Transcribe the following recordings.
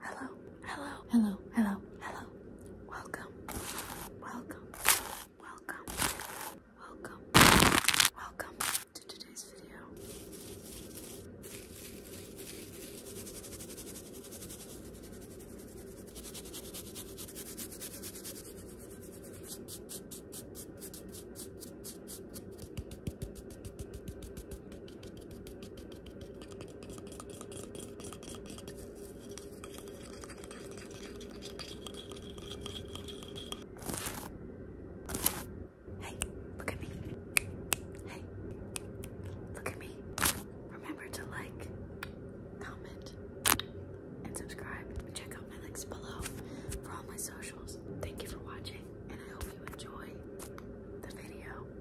Hello, hello, hello, hello, hello. Welcome, welcome, welcome, welcome, welcome to today's video. Hey, look at me. Hey, look at me. Remember to like, comment, and subscribe. Check out my links below for all my socials. Thank you for watching, and I hope you enjoy the video. Hey,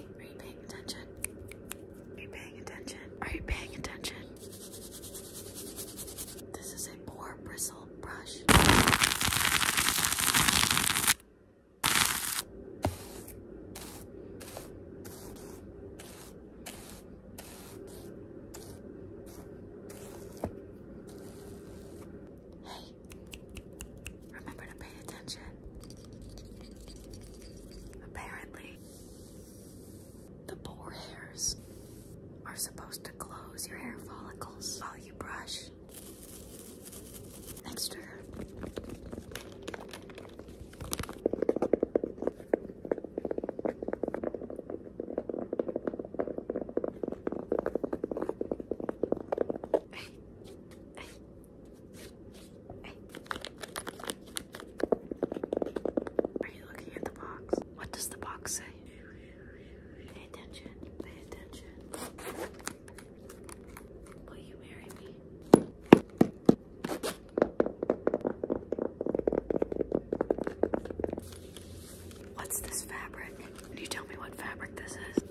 are you paying attention? Are you paying attention? Are you paying attention? This is a boar bristle brush. Hey, remember to pay attention. Apparently, the boar hairs are supposed to close your hair follicles while you brush couch next to her. Are you looking at the box? What does the box say? Pay attention, pay attention. Will you marry me? What's this fabric? Can you tell me what fabric this is?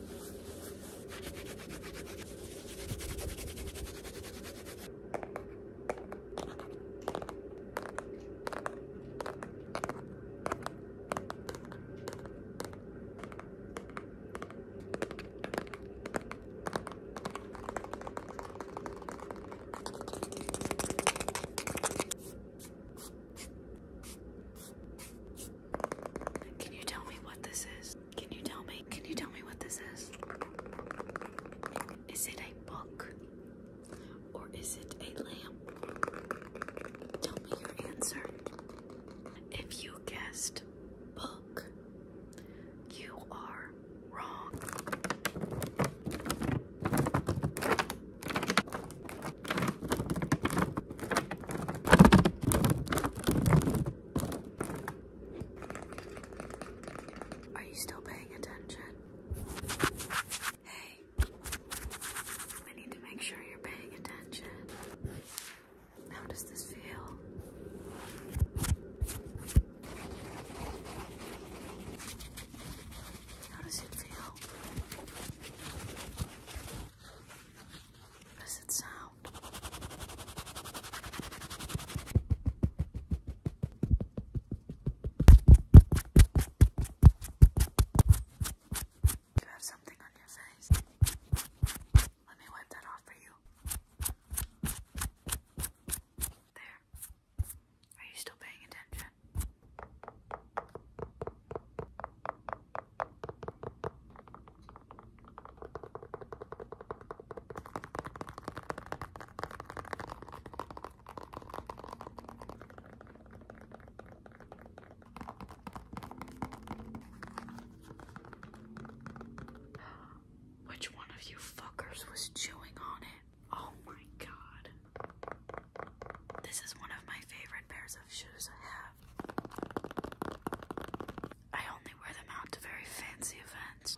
Can you tell me what this is? Can you tell me? Can you tell me what this is? Is it a book? or is it a lamp? Tell me your answer. If you guessed book, you are wrong. Are you still paying attention? Hey, I need to make sure you're paying attention. How does this feel? How does it feel? How does it sound? You have something on your face. Let me wipe that off for you. There. Are you still paying attention? Which one of you fuckers was chewing on it? Oh my god. This is one of my favorite pairs of shoes I have. I only wear them out to very fancy events.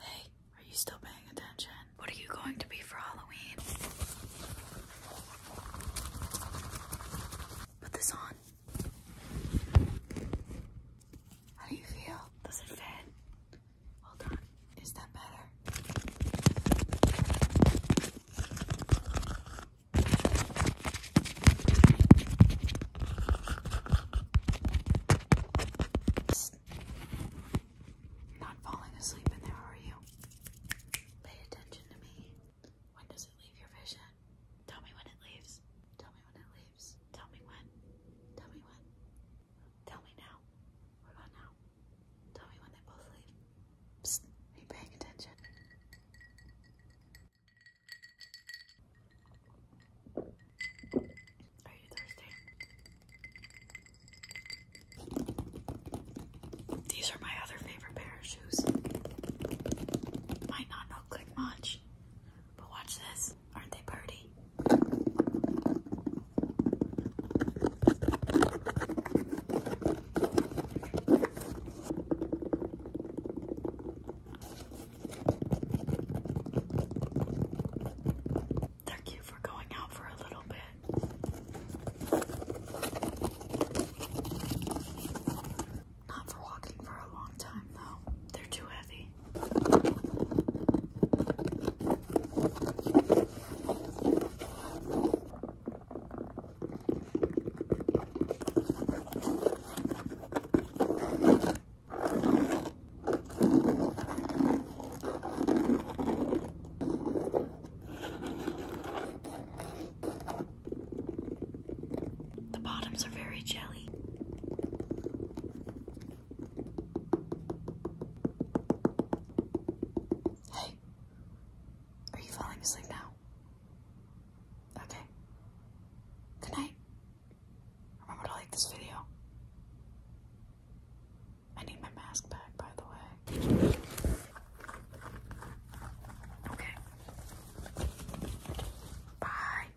Hey, are you still paying attention? What are you going to be for Halloween? Put this on. How do you feel? Does it fit? Hold on. Is that better? Not falling asleep in there, are you? Pay attention to me. When does it leave your vision? Tell me when it leaves. Tell me when it leaves. Tell me when. Tell me when. Tell me now. What about now? Tell me when they both leave. are you paying attention? Are you thirsty? These are my other favorite pair of shoes. Might not look like much, but watch this aren't they pretty? They're for going out for a little bit. Not for walking for a long time, though. They're too heavy. The bottoms are very jelly. Hey, are you falling asleep now? Okay. Good night. Remember to like this video. I need my mask back, by the way. Okay. Bye.